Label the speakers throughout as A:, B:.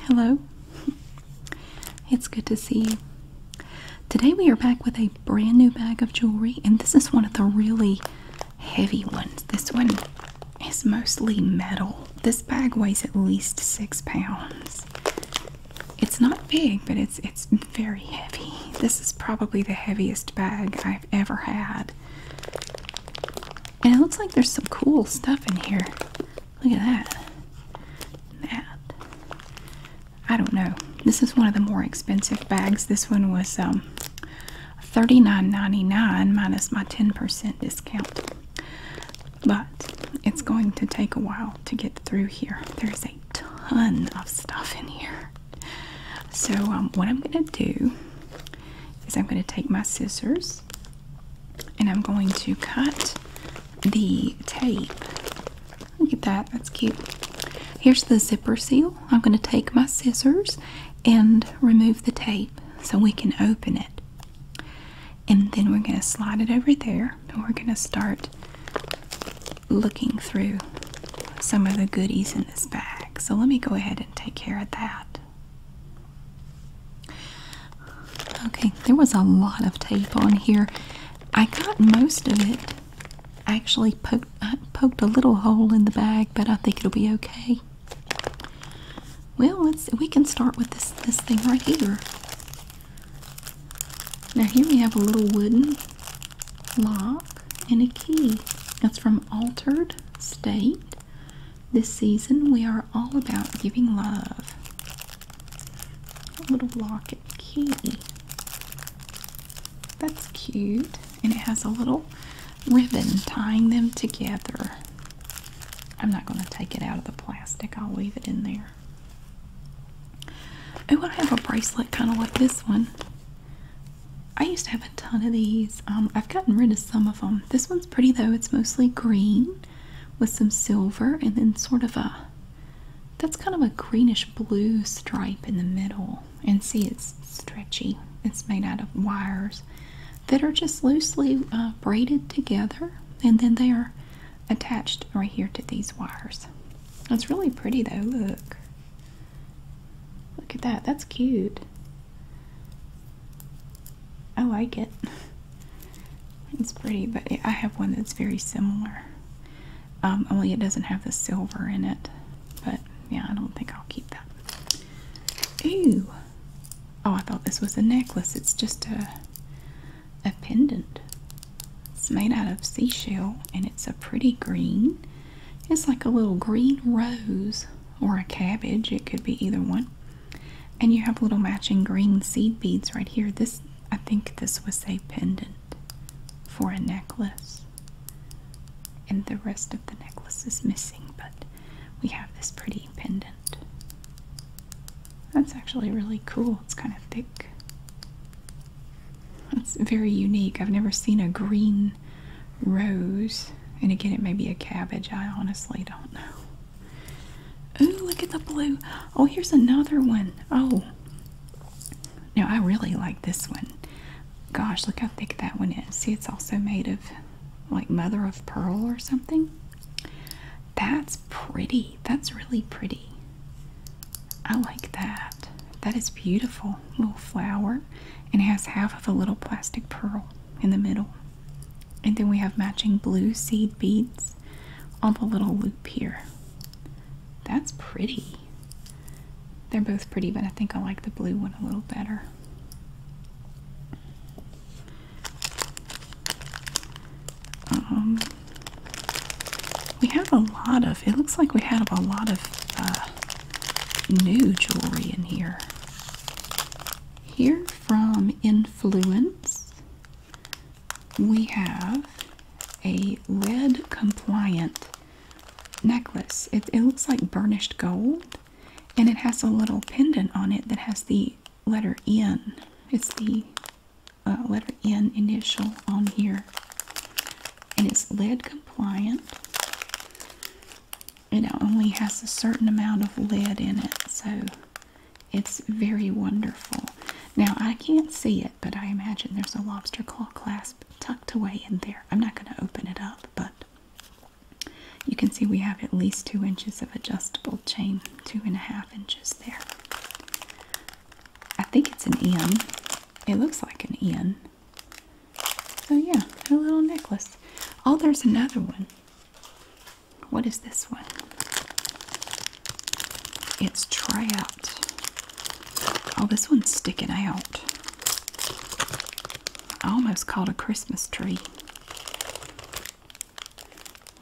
A: Hello. It's good to see you. Today we are back with a brand new bag of jewelry, and this is one of the really heavy ones. This one is mostly metal. This bag weighs at least six pounds. It's not big, but it's it's very heavy. This is probably the heaviest bag I've ever had. And it looks like there's some cool stuff in here. Look at that. That. I don't know. This is one of the more expensive bags. This one was um, 39 minus my 10% discount. But it's going to take a while to get through here. There's a ton of stuff in here. So, um, what I'm going to do is I'm going to take my scissors and I'm going to cut the tape. Look at that, that's cute. Here's the zipper seal. I'm going to take my scissors and remove the tape so we can open it. And then we're going to slide it over there and we're going to start looking through some of the goodies in this bag. So let me go ahead and take care of that. Okay, there was a lot of tape on here. I got most of it. Actually, poked poked a little hole in the bag, but I think it'll be okay. Well, let's we can start with this this thing right here. Now here we have a little wooden lock and a key. That's from Altered State. This season, we are all about giving love. A little locket key. That's cute. And it has a little ribbon tying them together. I'm not going to take it out of the plastic, I'll leave it in there. Oh, I have a bracelet kind of like this one. I used to have a ton of these. Um, I've gotten rid of some of them. This one's pretty though. It's mostly green with some silver and then sort of a that's kind of a greenish blue stripe in the middle. And see, it's stretchy. It's made out of wires that are just loosely uh, braided together and then they are attached right here to these wires. It's really pretty though. Look. Look at that. That's cute. Oh, I like it. It's pretty, but I have one that's very similar. Um, only it doesn't have the silver in it. But yeah, I don't think I'll keep that. Ooh. Oh, I thought this was a necklace. It's just a a pendant. It's made out of seashell and it's a pretty green. It's like a little green rose or a cabbage, it could be either one. And you have little matching green seed beads right here. This, I think, this was a pendant for a necklace, and the rest of the necklace is missing, but we have this pretty pendant. That's actually really cool. It's kind of thick. It's very unique. I've never seen a green rose. And again, it may be a cabbage. I honestly don't know. Ooh, look at the blue. Oh, here's another one. Oh. Now, I really like this one. Gosh, look how thick that one is. See, it's also made of like mother of pearl or something. That's pretty. That's really pretty. I like that. That is beautiful. Little flower and has half of a little plastic pearl in the middle. And then we have matching blue seed beads on the little loop here. That's pretty. They're both pretty, but I think I like the blue one a little better. Um, we have a lot of, it looks like we have a lot of uh, new jewelry in here. Here from Influence, we have a lead compliant necklace. It, looks like burnished gold, and it has a little pendant on it that has the letter N. It's the uh, letter N initial on here, and it's lead compliant. It only has a certain amount of lead in it, so it's very wonderful. Now, I can't see it, but I imagine there's a lobster claw clasp tucked away in there. I'm not going to open it up, but you can see we have at least two inches of adjustable chain, two and a half inches there. I think it's an N. It looks like an N. So yeah, a little necklace. Oh, there's another one. What is this one? It's trout. Oh, this one's sticking out. I almost called a Christmas tree.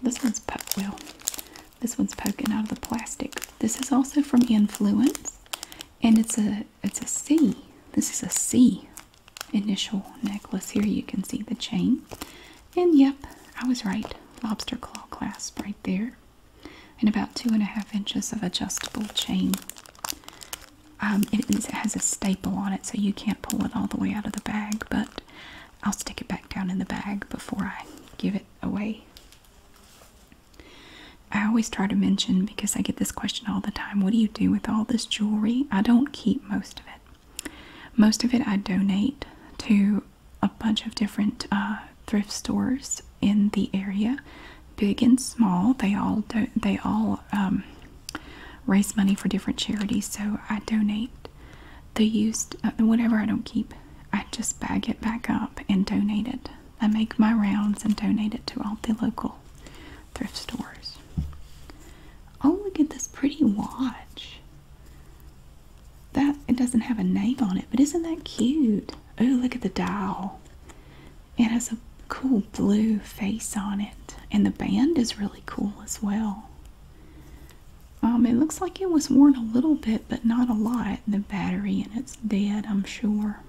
A: This one's well. This one's poking out of the plastic. This is also from Influence and it's a it's a C. This is a C initial necklace. Here you can see the chain. And yep, I was right. Lobster claw clasp right there. And about two and a half inches of adjustable chain. Um, it, it has a staple on it, so you can't pull it all the way out of the bag, but I'll stick it back down in the bag before I give it away. I always try to mention because I get this question all the time what do you do with all this jewelry? I don't keep most of it. Most of it I donate to a bunch of different uh, thrift stores in the area, big and small. They all they all um, raise money for different charities, so I donate the used uh, whatever I don't keep. I just bag it back up and donate it I make my rounds and donate it to all the local thrift stores. Oh, look at this pretty watch. That it doesn't have a name on it, but isn't that cute? Oh, look at the dial. It has a cool blue face on it, and the band is really cool as well. Um, it looks like it was worn a little bit, but not a lot. The battery and it's dead, I'm sure.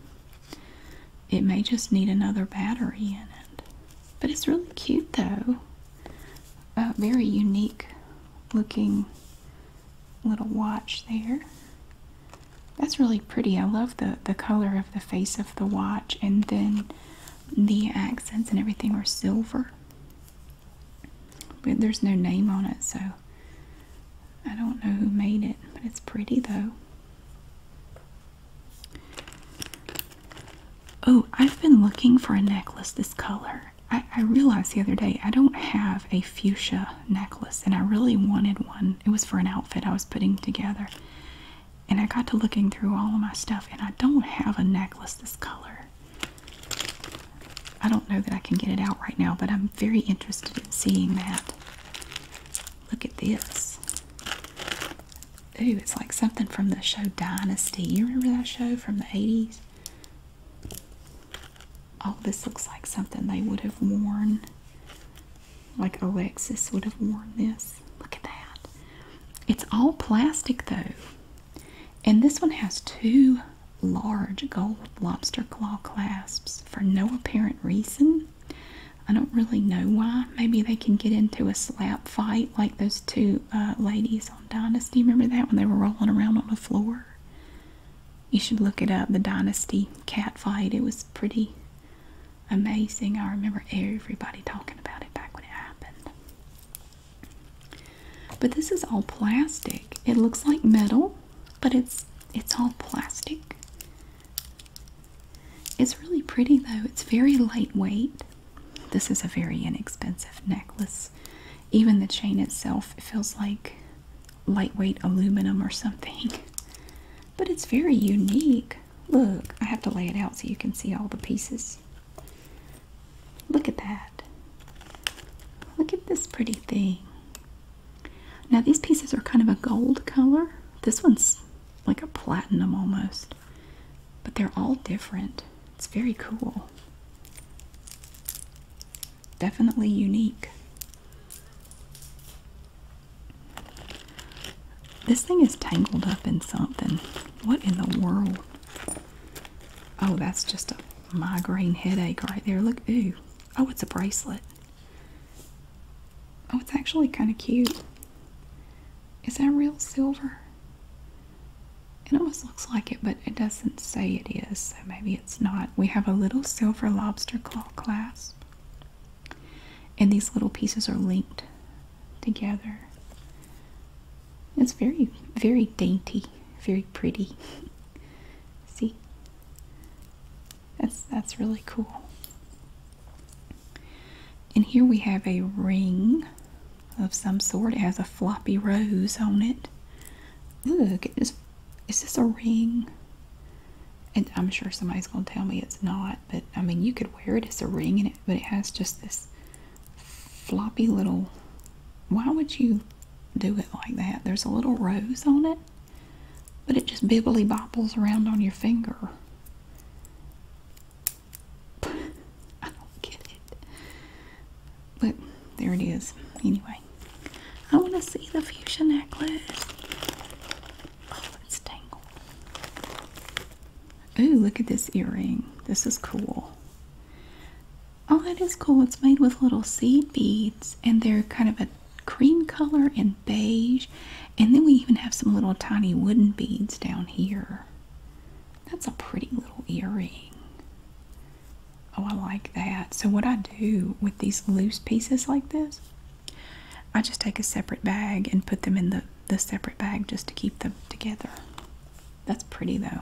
A: It may just need another battery in it. But it's really cute though. A uh, very unique looking little watch there. That's really pretty. I love the, the color of the face of the watch and then the accents and everything are silver. But there's no name on it, so I don't know who made it, but it's pretty though. Oh, I've been looking for a necklace this color. I, realized the other day I don't have a fuchsia necklace, and I really wanted one. It was for an outfit I was putting together. And I got to looking through all of my stuff, and I don't have a necklace this color. I don't know that I can get it out right now, but I'm very interested in seeing that. Look at this. Ooh, it's like something from the show Dynasty. You remember that show from the 80s? Oh, this looks like something they would have worn. Like Alexis would have worn this. Look at that. It's all plastic though. And this one has two large gold lobster claw clasps for no apparent reason. I don't really know why. Maybe they can get into a slap fight like those two uh, ladies on Dynasty. Remember that when they were rolling around on the floor? You should look it up, the Dynasty cat fight. It was pretty amazing. I remember everybody talking about it back when it happened. But this is all plastic. It looks like metal but it's it's all plastic. It's really pretty though. It's very lightweight. This is a very inexpensive necklace. Even the chain itself feels like lightweight aluminum or something. But it's very unique. Look, I have to lay it out so you can see all the pieces. Look at that. Look at this pretty thing. Now these pieces are kind of a gold color. This one's like a platinum almost. But they're all different. It's very cool. Definitely unique. This thing is tangled up in something. What in the world? Oh, that's just a migraine headache right there. Look, ooh. Oh, it's a bracelet. Oh, it's actually kind of cute. Is that real silver? It almost looks like it, but it doesn't say it is, so maybe it's not. We have a little silver lobster claw clasp, and these little pieces are linked together. It's very, very dainty, very pretty. See? That's that's really cool. And here we have a ring of some sort. It has a floppy rose on it. Look, it is, is this a ring? And I'm sure somebody's going to tell me it's not, but I mean, you could wear it as a ring, and it, but it has just this floppy little. Why would you do it like that? There's a little rose on it but it just bibbly bobbles around on your finger. I don't get it. But there it is. Anyway, I want to see the fuchsia necklace. Oh, it's tangled. Ooh, look at this earring. This is cool. Oh, that is cool. It's made with little seed beads, and they're kind of a cream color and beige. And then we even have some little tiny wooden beads down here. That's a pretty little earring. Oh, I like that. So what I do with these loose pieces like this, I just take a separate bag and put them in the, the separate bag just to keep them together. That's pretty though.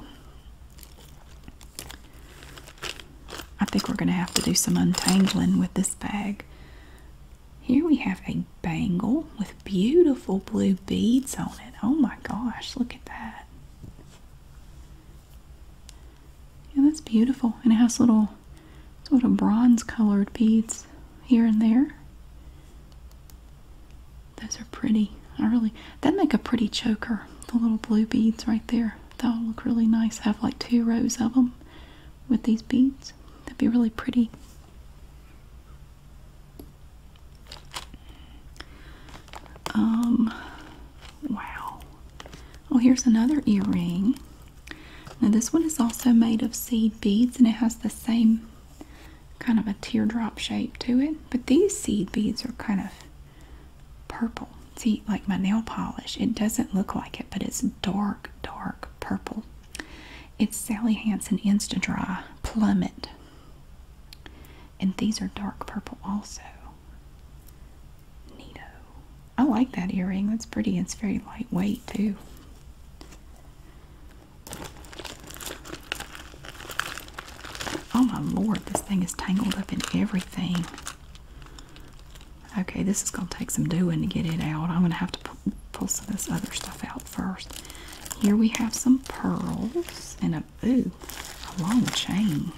A: I think we're going to have to do some untangling with this bag here we have a bangle with beautiful blue beads on it. Oh my gosh, look at that. Yeah, that's beautiful. And it has little sort of bronze colored beads here and there. Those are pretty. I really, that'd make a pretty choker. The little blue beads right there. That'll look really nice. Have like two rows of them with these beads. That'd be really pretty. Um, wow. Oh, here's another earring. Now, this one is also made of seed beads and it has the same kind of a teardrop shape to it. But these seed beads are kind of purple. See, like my nail polish, it doesn't look like it, but it's dark, dark purple. It's Sally Hansen Insta Dry Plummet. And these are dark purple also. Neato. I like that earring. That's pretty. and It's very lightweight too. Oh my lord, this thing is tangled up in everything. Okay, this is going to take some doing to get it out. I'm going to have to pull some of this other stuff out first. Here we have some pearls and a, ooh, a long chain.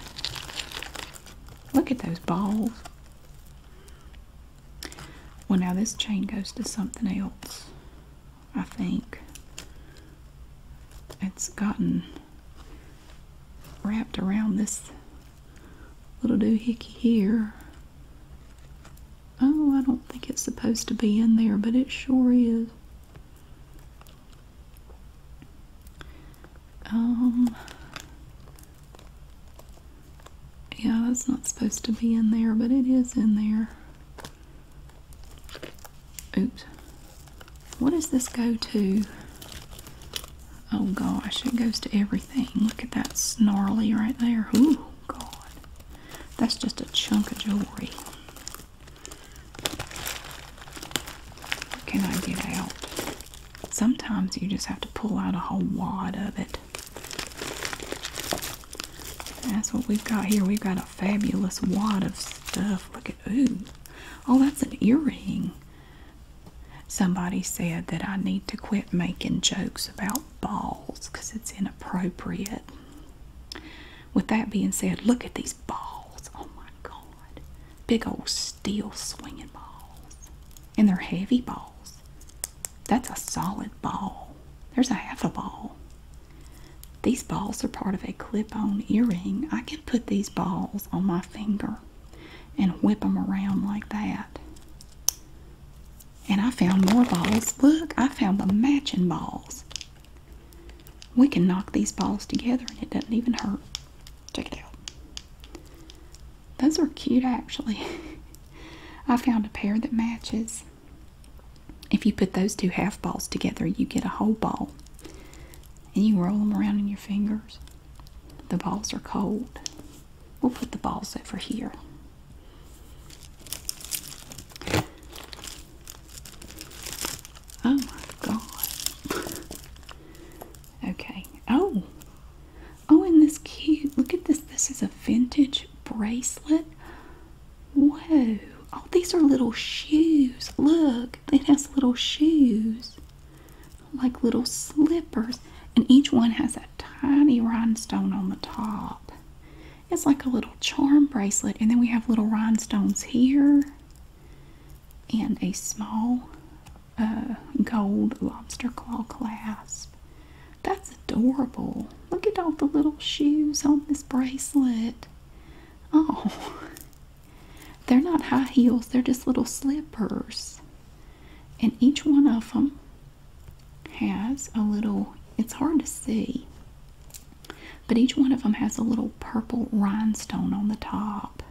A: Look at those balls. Well, now this chain goes to something else, I think. It's gotten wrapped around this little doohickey here. Oh, I don't think it's supposed to be in there, but it sure is. Um, yeah, that's not supposed to be in there, but it is in there. Oops. What does this go to? Oh gosh, it goes to everything. Look at that snarly right there. Ooh, God. That's just a chunk of jewelry. can I get out? Sometimes you just have to pull out a whole wad of it. That's what we've got here. We've got a fabulous wad of stuff. Look at, ooh. Oh, that's an earring. Somebody said that I need to quit making jokes about balls because it's inappropriate. With that being said, look at these balls. Oh my God. Big old steel swinging balls. And they're heavy balls. That's a solid ball. There's a half a ball. These balls are part of a clip on earring. I can put these balls on my finger and whip them around like that. And I found more balls. Look, I found the matching balls. We can knock these balls together and it doesn't even hurt. Check it out. Those are cute actually. I found a pair that matches. If you put those two half balls together, you get a whole ball. And you roll them around in your fingers. The balls are cold. We'll put the balls over here. Oh my god. okay. Oh. Oh, and this cute. Look at this. This is a vintage bracelet. Whoa. Oh, these are little shoes. Look, it has little shoes like little slippers, and each one has a tiny rhinestone on the top. It's like a little charm bracelet, and then we have little rhinestones here and a small uh, gold lobster claw clasp. That's adorable. Look at all the little shoes on this bracelet. Oh, they're not high heels, they're just little slippers and each one of them has a little it's hard to see but each one of them has a little purple rhinestone on the top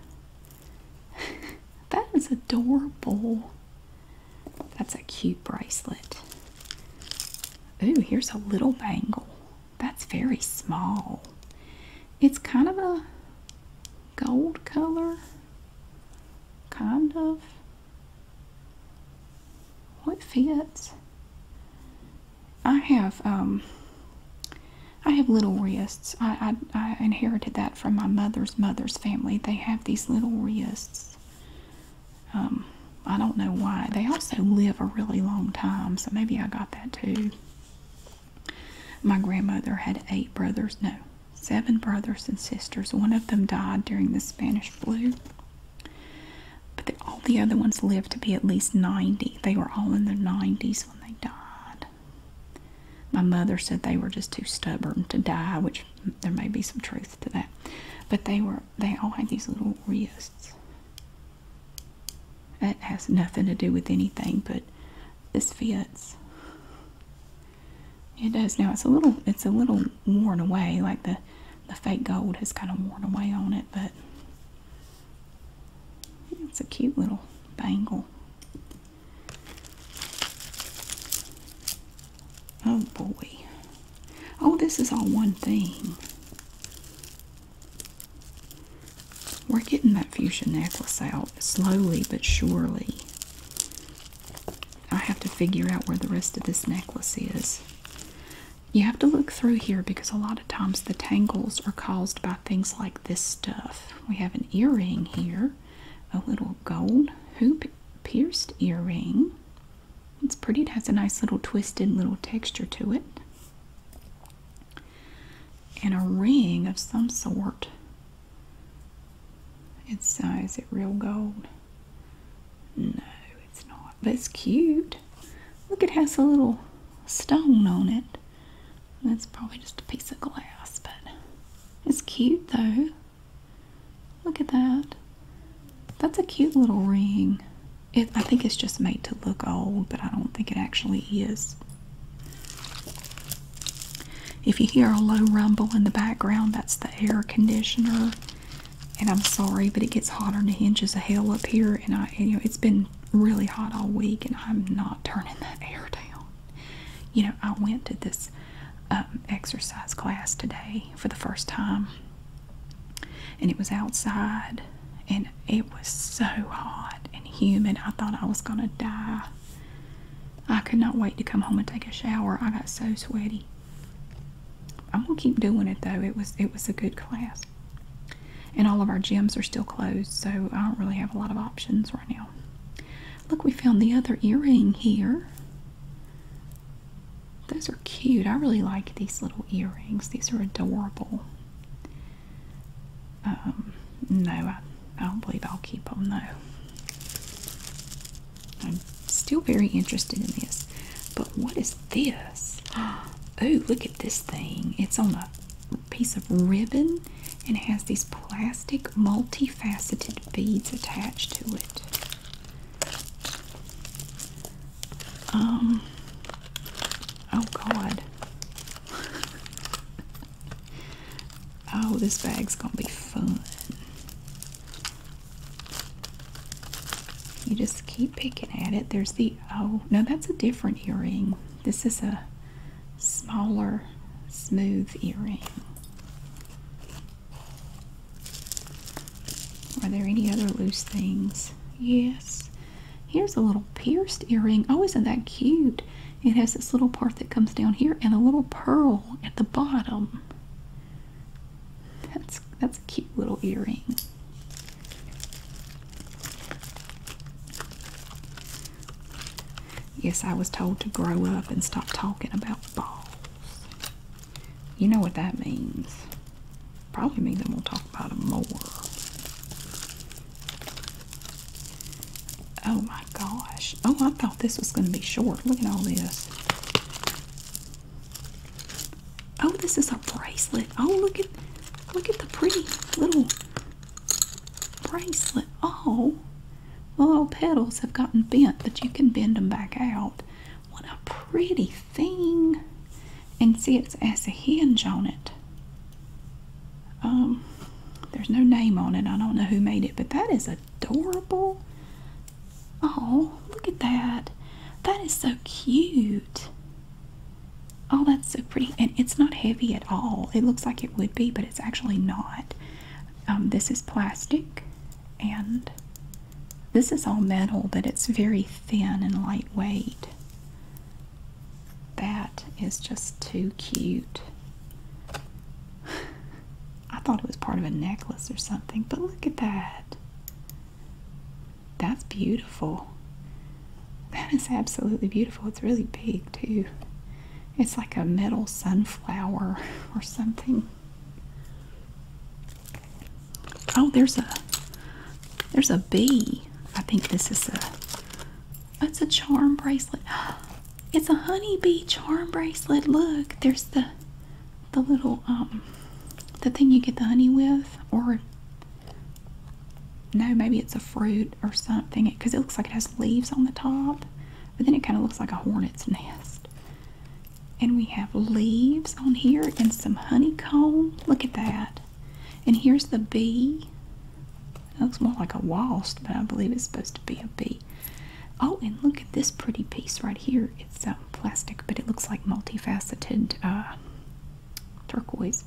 A: that is adorable that's a cute bracelet ooh here's a little bangle that's very small it's kind of a gold color Kind of. What fits. I have, um, I have little wrists. I, I, I inherited that from my mother's mother's family. They have these little wrists. Um, I don't know why. They also live a really long time, so maybe I got that too. My grandmother had eight brothers, no, seven brothers and sisters. One of them died during the Spanish flu, but all the other ones lived to be at least 90. They were all in their 90s when they died. My mother said they were just too stubborn to die, which there may be some truth to that. But they were, they all had these little wrists. That has nothing to do with anything, but this fits. It does now. It's a little. It's a little worn away. Like the the fake gold has kind of worn away on it, but it's a cute little bangle. Oh boy. Oh, this is all one thing. We're getting that fuchsia necklace out slowly but surely. I have to figure out where the rest of this necklace is. You have to look through here because a lot of times the tangles are caused by things like this stuff. We have an earring here, a little gold hoop pierced earring. It's pretty, it has a nice little twisted little texture to it. And a ring of some sort. It's, uh, is it real gold? No, it's not. But it's cute. Look, it has a little stone on it. That's probably just a piece of glass, but it's cute though. Look at that. That's a cute little ring. I think it's just made to look old, but I don't think it actually is. If you hear a low rumble in the background, that's the air conditioner. And I'm sorry, but it gets hotter than the hinges of hell up here. And I, you know, it's been really hot all week, and I'm not turning that air down. You know, I went to this um, exercise class today for the first time, and it was outside, and it was so hot and humid. I thought I was gonna die. I could not wait to come home and take a shower. I got so sweaty. I'm gonna keep doing it though. It was it was a good class. And all of our gyms are still closed, so I don't really have a lot of options right now. Look, we found the other earring here. Those are cute. I really like these little earrings. These are adorable. Um, no, I, don't believe I'll keep them though. I'm still very interested in this. But what is this? Oh, look at this thing. It's on a piece of ribbon and has these plastic multifaceted beads attached to it. Um, oh God. Oh, this bag's gonna be fun. You just keep picking at it. There's the oh no, that's a different earring. This is a smaller, smooth earring. Are there any other loose things? Yes. Here's a little pierced earring. Oh, isn't that cute? it. has this little part that comes down here and a little pearl at the bottom. That's that's a cute little earring. Yes, I was told to grow up and stop talking about balls. You know what that means. Probably means I'm gonna talk about them more. Oh my gosh. Oh, I thought this was going to be short. Look at all this. Oh, this is a bracelet. Oh, look at look at the pretty little bracelet. Oh, the little petals have gotten bent, but you can bend them back out. What a pretty thing. And see, it has a hinge on it. Um, there's no name on it. I don't know who made it, but that is adorable. Oh, look at that. That is so cute. Oh, that's so pretty. And it's not heavy at all. It looks like it would be, but it's actually not. Um, this is plastic and this is all metal, but it's very thin and lightweight. That is just too cute. I thought it was part of a necklace or something, but look at that. That's beautiful. That is absolutely beautiful. It's really big, too. It's like a metal sunflower or something. Oh, there's a there's a bee. I think this is a That's a charm bracelet. It's a honey bee charm bracelet. Look, there's the the little um the thing you get the honey with or no, maybe it's a fruit or something because it looks like it has leaves on the top, but then it kind of looks like a hornet's nest. And we have leaves on here and some honeycomb. Look at that. And here's the bee that looks more like a wasp, but I believe it's supposed to be a bee. Oh, and look at this pretty piece right here. It's um, plastic, but it looks like multifaceted uh, turquoise.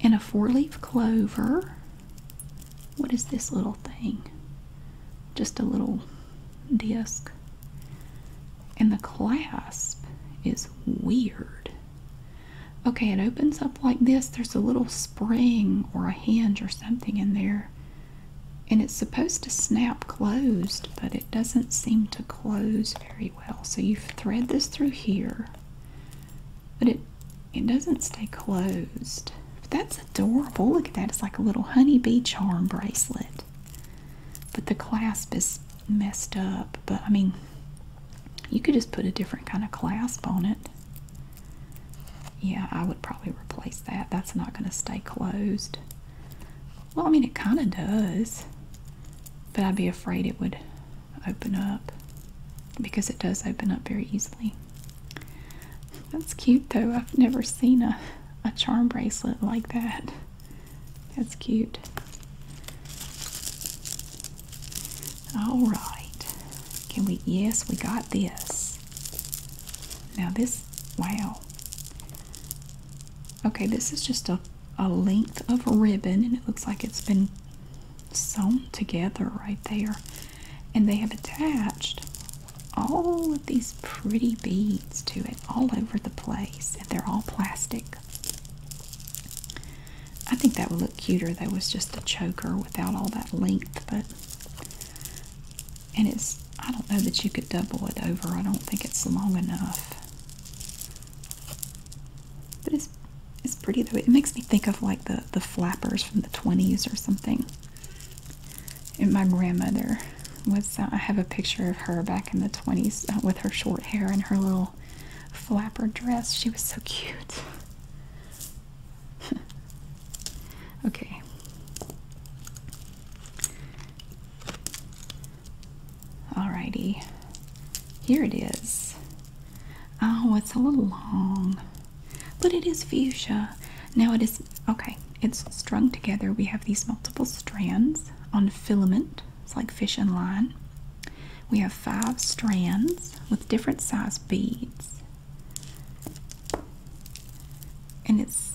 A: And a four-leaf clover. What is this little thing? Just a little disc. And the clasp is weird. Okay, it opens up like this. There's a little spring or a hinge or something in there. And it's supposed to snap closed, but it doesn't seem to close very well. So you thread this through here, but it it doesn't stay closed. that's adorable. Look at that. It's like a little honeybee charm bracelet. But the clasp is messed up. But I mean, you could just put a different kind of clasp on it. Yeah, I would probably replace that. That's not going to stay closed. Well, I mean, it kind of does, but I'd be afraid it would open up because it does open up very easily. That's cute though. I've never seen a, a charm bracelet like that. That's cute. All right. Can we? Yes, we got this. Now this, wow. Okay, this is just a, a length of ribbon and it looks like it's been sewn together right there. And they have attached all of these pretty beads to it all over the place. And they're all plastic. I think that would look cuter though was just a choker without all that length, but and it's I don't know that you could double it over. I don't think it's long enough. But it's it's pretty though. It makes me think of like the the flappers from the 20s or something. And my grandmother was uh, I have a picture of her back in the 20s uh, with her short hair and her little flapper dress. She was so cute. okay. Alrighty. Here it is. Oh, it's a little long. But it is fuchsia. Now it is okay, it's strung together. We have these multiple strands on filament. It's like fish and line. We have five strands with different size beads. And it's,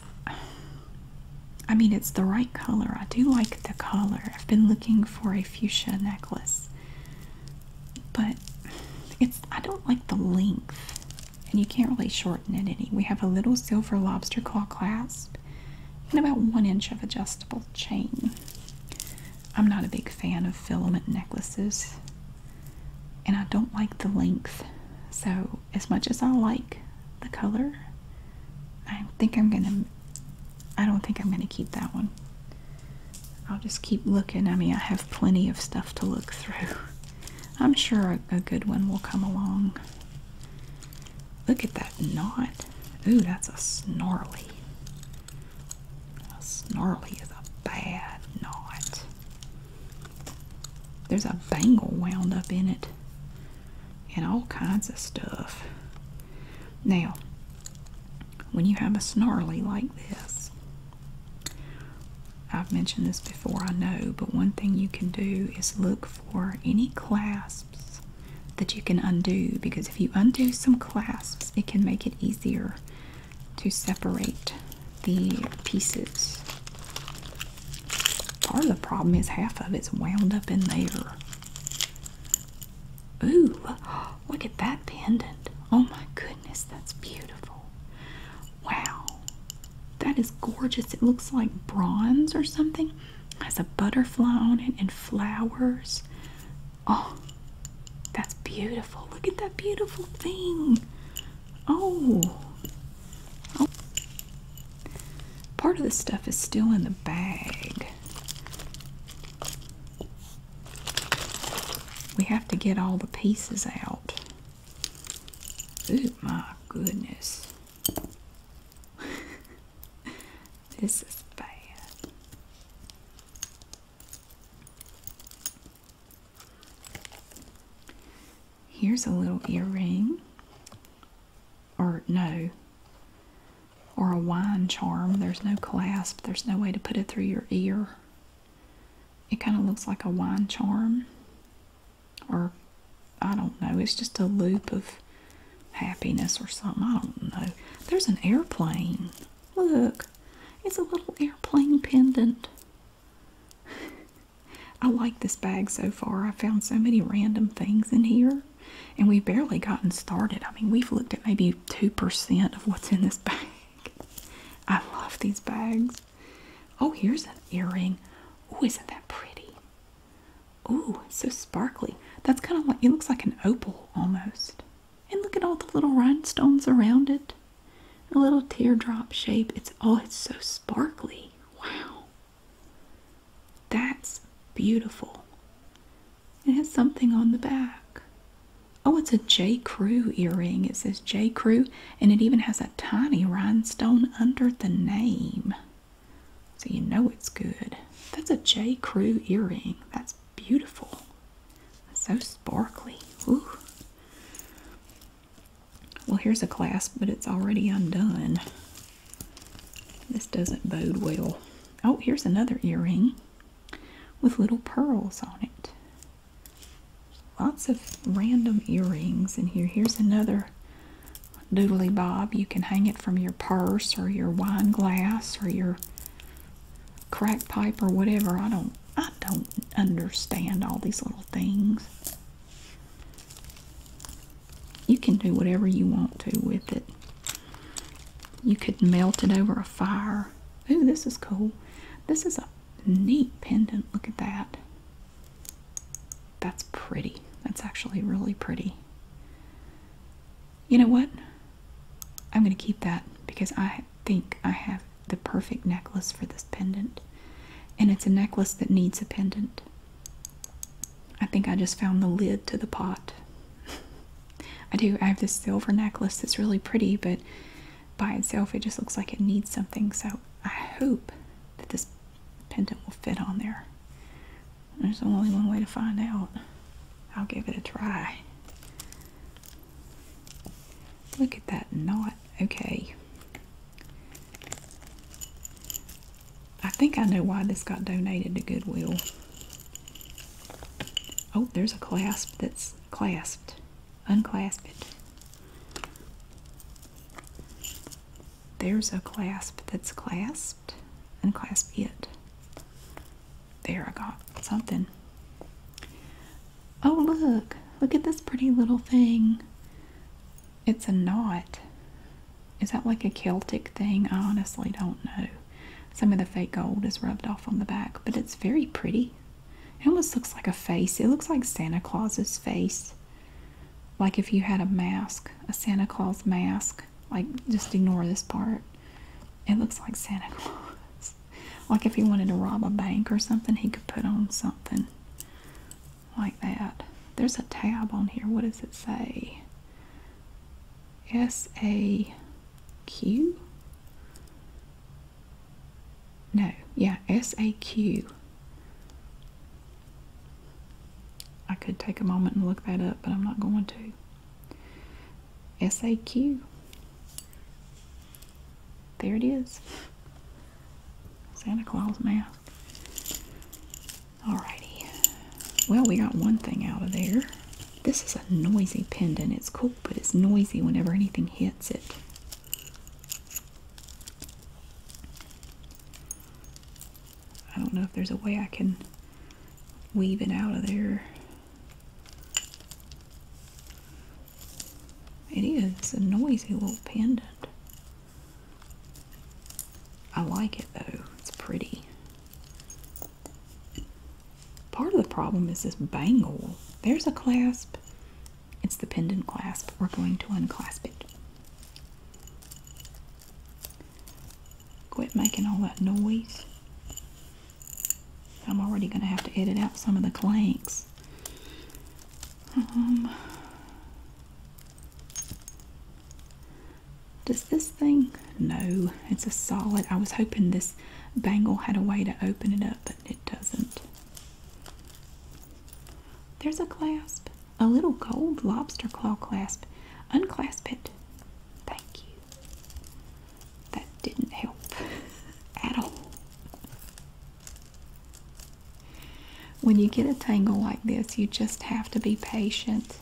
A: I mean, it's the right color. I do like the color. I've been looking for a fuchsia necklace, but it's, I don't like the length. And you can't really shorten it any. We have a little silver lobster claw clasp and about one inch of adjustable chain. I'm not a big fan of filament necklaces and I don't like the length. So, as much as I like the color, I think I'm going to I don't think I'm going to keep that one. I'll just keep looking. I mean, I have plenty of stuff to look through. I'm sure a, good one will come along. Look at that knot. Ooh, that's a snarly. Snarly is a bad knot. There's a bangle wound up in it and all kinds of stuff. Now, when you have a snarly like this, I've mentioned this before, I know, but one thing you can do is look for any clasps that you can undo because if you undo some clasps, it can make it easier to separate the pieces. Part of the problem is half of it's wound up in there. Ooh, look at that pendant. Oh my goodness, that's beautiful. Wow, that is gorgeous. It looks like bronze or something. It has a butterfly on it and flowers. Oh, that's beautiful. Look at that beautiful thing. Oh. oh. Part of the stuff is still in the bag. We have to get all the pieces out. Oh my goodness. this is bad. Here's a little earring, or no, or a wine charm. There's no clasp, there's no way to put it through your ear. It kind of looks like a wine charm, or I don't know, it's just a loop of happiness or something. I don't know. There's an airplane. Look, it's a little airplane pendant. I like this bag so far. I found so many random things in here, and we've barely gotten started. I mean, we've looked at maybe 2% of what's in this bag. I love these bags. Oh, here's an earring. Oh, isn't that pretty? Oh, so sparkly. That's kind of like, it looks like an opal almost. And look at all the little rhinestones around it. A little teardrop shape. It's oh, it's so sparkly. Wow. That's beautiful. It has something on the back. Oh, it's a J. Crew earring. It says J. Crew, and it even has a tiny rhinestone under the name. So you know it's good. That's a J. Crew earring. That's beautiful. So sparkly. Well, here's a clasp, but it's already undone. This doesn't bode well. Oh, here's another earring with little pearls on it. Lots of random earrings in here. Here's another doodly bob. You can hang it from your purse or your wine glass or your crack pipe or whatever. I don't I don't understand all these little things. You can do whatever you want to with it. You could melt it over a fire. Ooh, this is cool. This is a neat pendant. Look at that. That's pretty. That's actually really pretty. You know what? I'm going to keep that because I think I have the perfect necklace for this pendant. And it's a necklace that needs a pendant. I think I just found the lid to the pot. I do. I have this silver necklace that's really pretty, but by itself it just looks like it needs something. So I hope that this pendant will fit on there. There's only one way to find out. I'll give it a try. Look at that knot. Okay. I think I know why this got donated to Goodwill. Oh, there's a clasp that's clasped. Unclasp it. There's a clasp that's clasped. Unclasp it. There, I got something. Oh, look. Look at this pretty little thing. It's a knot. Is that like a Celtic thing? I honestly don't know. Some of the fake gold is rubbed off on the back, but it's very pretty. It almost looks like a face. It looks like Santa Claus's face. Like if you had a mask, a Santa Claus mask. Like, just ignore this part. It looks like Santa Claus. like if he wanted to rob a bank or something, he could put on something like that. There's a tab on here. What does it say? S A Q? No, yeah, S A Q. I could take a moment and look that up, but I'm not going to. SAQ. There it is. Santa Claus mask. All righty. Well, we got one thing out of there. This is a noisy pendant. It's cool, but it's noisy whenever anything hits it. I don't know if there's a way I can weave it out of there. It is a noisy little pendant. I like it though, it's pretty. Part of the problem is this bangle. There's a clasp, it's the pendant clasp. We're going to unclasp it. Quit making all that noise. I'm already going to have to edit out some of the clanks. Um, does this thing? No, it's a solid. I was hoping this bangle had a way to open it up, but it doesn't. There's a clasp, a little gold lobster claw clasp. Unclasp it. Thank you. That didn't help at all. When you get a tangle like this, you just have to be patient.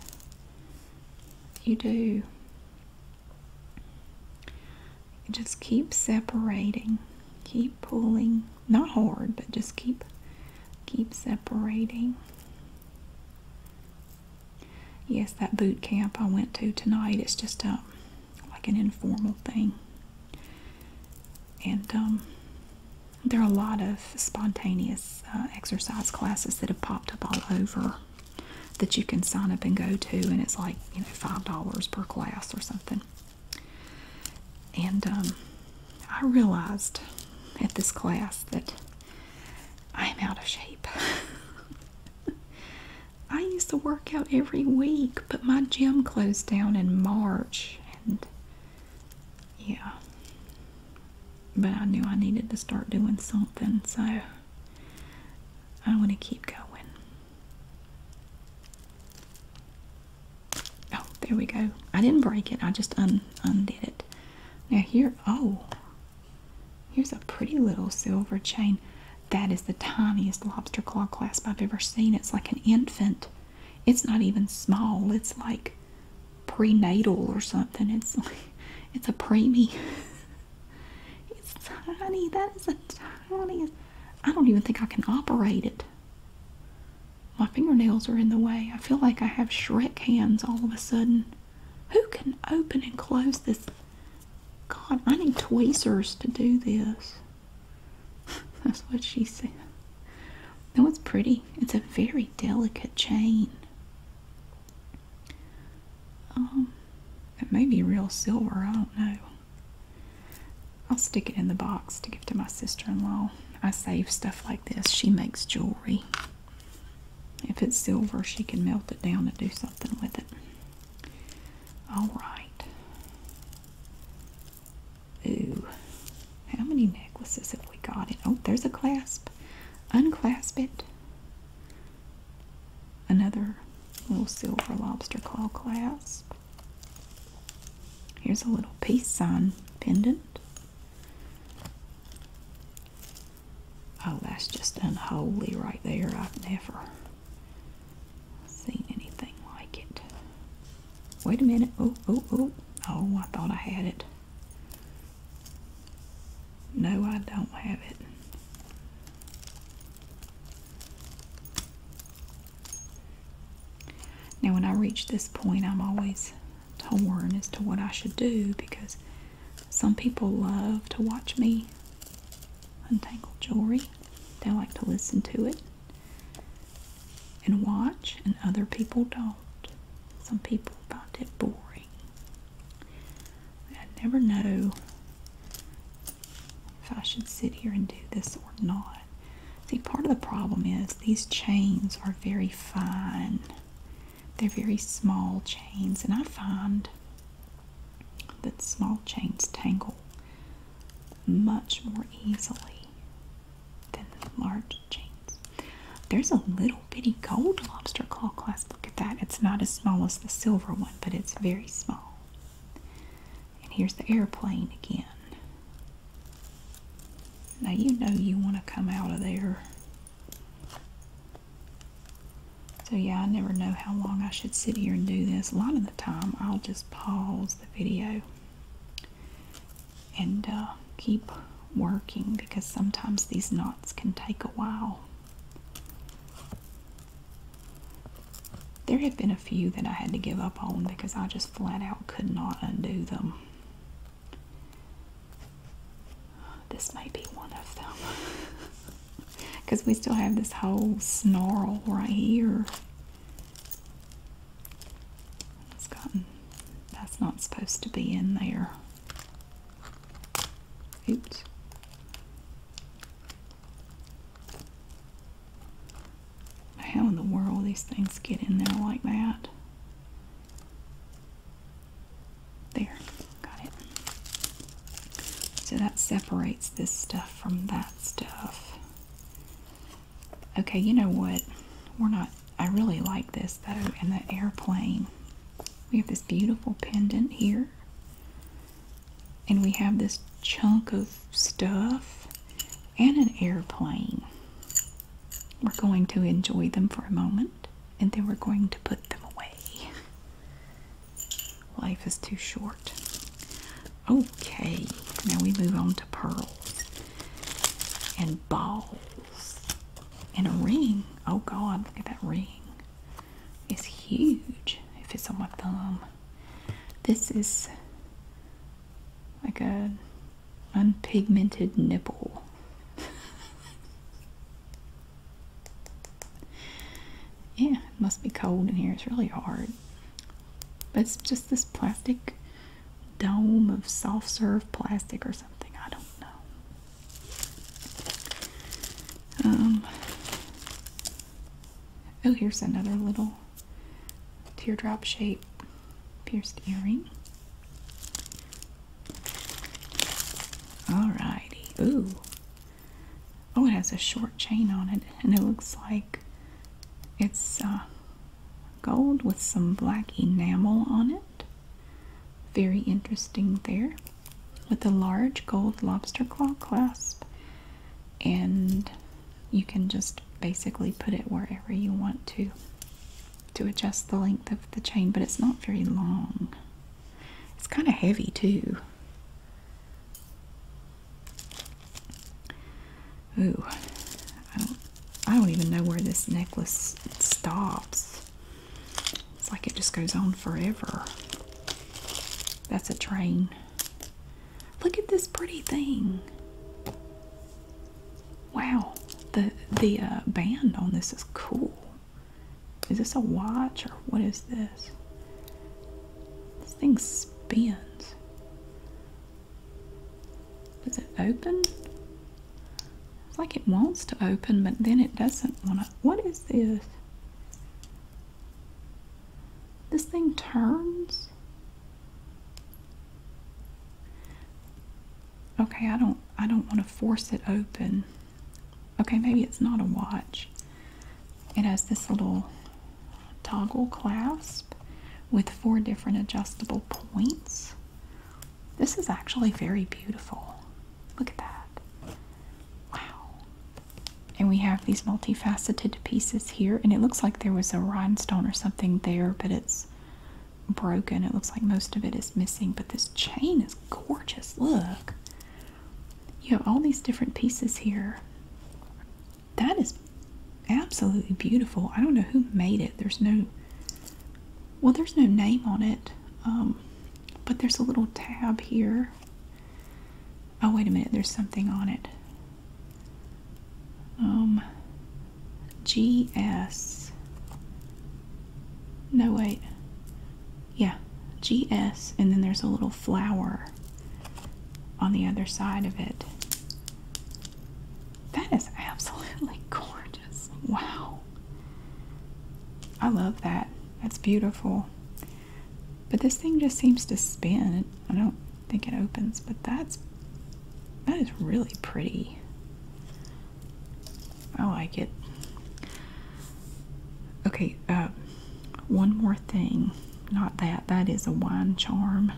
A: You do. just keep separating. Keep pulling. Not hard, but just keep keep separating. Yes, that boot camp I went to tonight is just a, um, like an informal thing. And um, there are a lot of spontaneous uh, exercise classes that have popped up all over that you can sign up and go to, and it's like, you know, $5 per class or something. And um, I realized at this class that I'm out of shape. I used to work out every week, but my gym closed down in March, and yeah. But I knew I needed to start doing something, so I want to keep going. Oh, there we go. I didn't break it, I just un undid it. Now, here, oh, Here's a pretty little silver chain. That is the tiniest lobster claw clasp I've ever seen. It's like an infant. It's not even small. It's like prenatal or something. It's it's a preemie. it's tiny. That is the tiniest. I don't even think I can operate it. My fingernails are in the way. I feel like I have Shrek hands all of a sudden. Who can open and close this? God, I need tweezers to do this. That's what she said. That was pretty. It's a very delicate chain. Um, it may be real silver. I don't know. I'll stick it in the box to give to my sister-in-law. I save stuff like this. She makes jewelry. If it's silver, she can melt it down and do something with it. All right. Ooh. How many necklaces have we got? In? Oh, there's a clasp. Unclasp it. Another little silver lobster claw clasp. Here's a little peace sign pendant. Oh, that's just unholy right there. I've never seen anything like it. Wait a minute. Oh, oh, oh. Oh, I thought I had it. No, I don't have it. Now, when I reach this point, I'm always torn as to what I should do because some people love to watch me untangle jewelry. They like to listen to it and watch, and other people don't. Some people find it boring. I never know if I should sit here and do this or not. See, part of the problem is these chains are very fine. They're very small chains, and I find that small chains tangle much more easily than large chains. There's a little bitty gold lobster claw clasp. Look at that. It's not as small as the silver one, but it's very small. And here's the airplane again. Now you know you want to come out of there. So yeah, I never know how long I should sit here and do this. A lot of the time, I'll just pause the video and uh, keep working because sometimes these knots can take a while. There have been a few that I had to give up on because I just flat out could not undo them. This might be one of them. Because we still have this whole snarl right here. that's not supposed to be in there. Oops. How in the world these things get in there like that? There, got it. So that separates this stuff from that stuff. Okay, you know what? We're not, I really like this though, and the airplane. We have this beautiful pendant here. And we have this chunk of stuff and an airplane. We're going to enjoy them for a moment and then we're going to put them away. Life is too short. Okay, now we move on to pearls and balls and a ring. Oh god, look at that ring. It's huge It fits on my thumb. This is like a unpigmented nipple. Yeah, it must be cold in here. It's really hard. But it's just this plastic dome of soft serve plastic or something. I don't know. Um, oh, here's another little teardrop shape pierced earring. Alrighty. Ooh. Oh, it has a short chain on it, and it looks like it's uh, gold with some black enamel on it. Very interesting there. With a large gold lobster claw clasp, and you can just basically put it wherever you want to to adjust the length of the chain, but it's not very long. It's kind of heavy too. Ooh, I don't, even know where this necklace stops. It's like it just goes on forever. That's a train. Look at this pretty thing. Wow, the the uh, band on this is cool. Is this a watch or what is this? This thing spins. Does it open? It's like it wants to open, but then it doesn't want to. What is this? This thing turns? Okay, I don't I don't want to force it open. Okay, maybe it's not a watch. It has this little toggle clasp with four different adjustable points. This is actually very beautiful. Look at that. Wow. And we have these multifaceted pieces here, and it looks like there was a rhinestone or something there, but it's broken. It looks like most of it is missing, but this chain is gorgeous. Look, you have all these different pieces here. That is absolutely beautiful. I don't know who made it. There's no, well, there's no name on it, um, but there's a little tab here. Oh, wait a minute, there's something on it. Um, GS. No, wait yeah, GS, and then there's a little flower on the other side of it. That is absolutely gorgeous. Wow. I love that. That's beautiful. But this thing just seems to spin. I don't think it opens, but that's that is really pretty. Oh, I like it. Okay, uh, one more thing. Not that. That is a wine charm.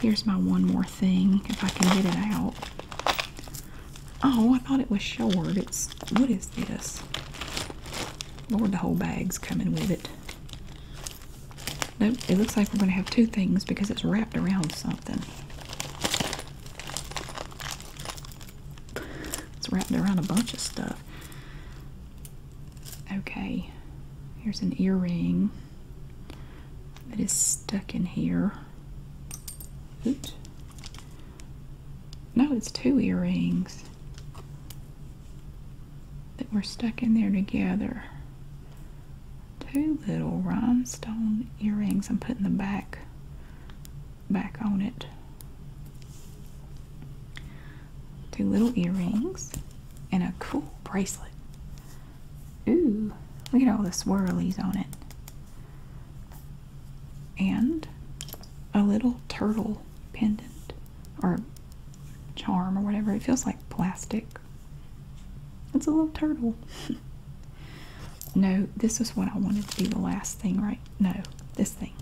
A: Here's my one more thing, if I can get it out. Oh, I thought it was short. It's, what is this? Lord, the whole bag's coming with it. Nope, it looks like we're going to have two things because it's wrapped around something. It's wrapped around a bunch of stuff. Okay, here's an earring that is stuck in here. Oops. No, it's two earrings that were stuck in there together two little rhinestone earrings. I'm putting the back back on it. Two little earrings and a cool bracelet. Ooh, look at all the swirlies on it. And a little turtle pendant or charm or whatever. It feels like plastic. It's a little turtle. no, this is what I wanted to be the last thing, right? No, this thing.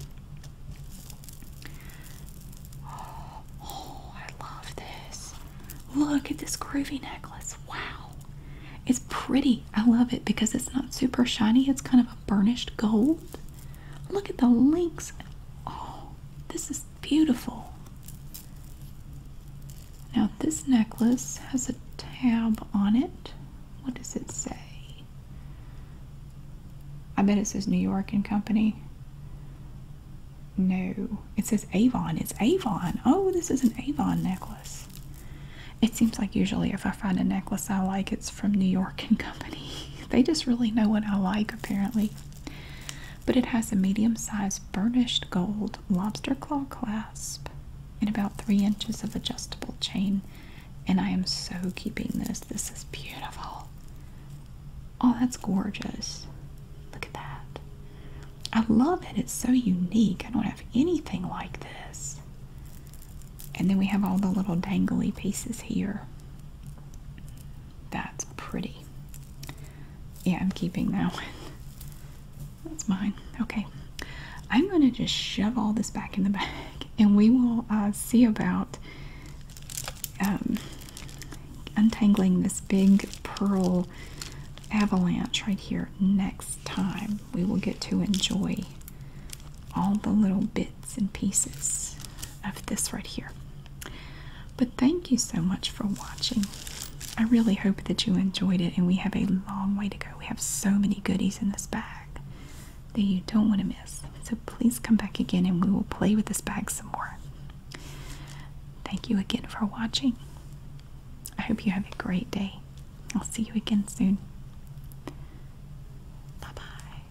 A: Oh, I love this. Look at this groovy necklace. Wow. It's pretty. I love it because it's not super shiny. It's kind of a burnished gold. Look at the links. Oh, this is beautiful. Now, this necklace has a tab on it. What does it say? I bet it says New York and Company. No, it says Avon. It's Avon. Oh, this is an Avon necklace. It seems like usually if I find a necklace I like, it's from New York and Company. they just really know what I like, apparently but it has a medium sized burnished gold lobster claw clasp and about three inches of adjustable chain. And I am so keeping this. This is beautiful. Oh, that's gorgeous. Look at that. I love it. It's so unique. I don't have anything like this. And then we have all the little dangly pieces here. That's pretty. Yeah, I'm keeping that one. That's mine. Okay. I'm going to just shove all this back in the bag and we will uh, see about um, untangling this big pearl avalanche right here next time. We will get to enjoy all the little bits and pieces of this right here thank you so much for watching. I really hope that you enjoyed it, and we have a long way to go. We have so many goodies in this bag that you don't want to miss. So please come back again and we will play with this bag some more. Thank you again for watching. I hope you have a great day. I'll see you again soon. Bye bye.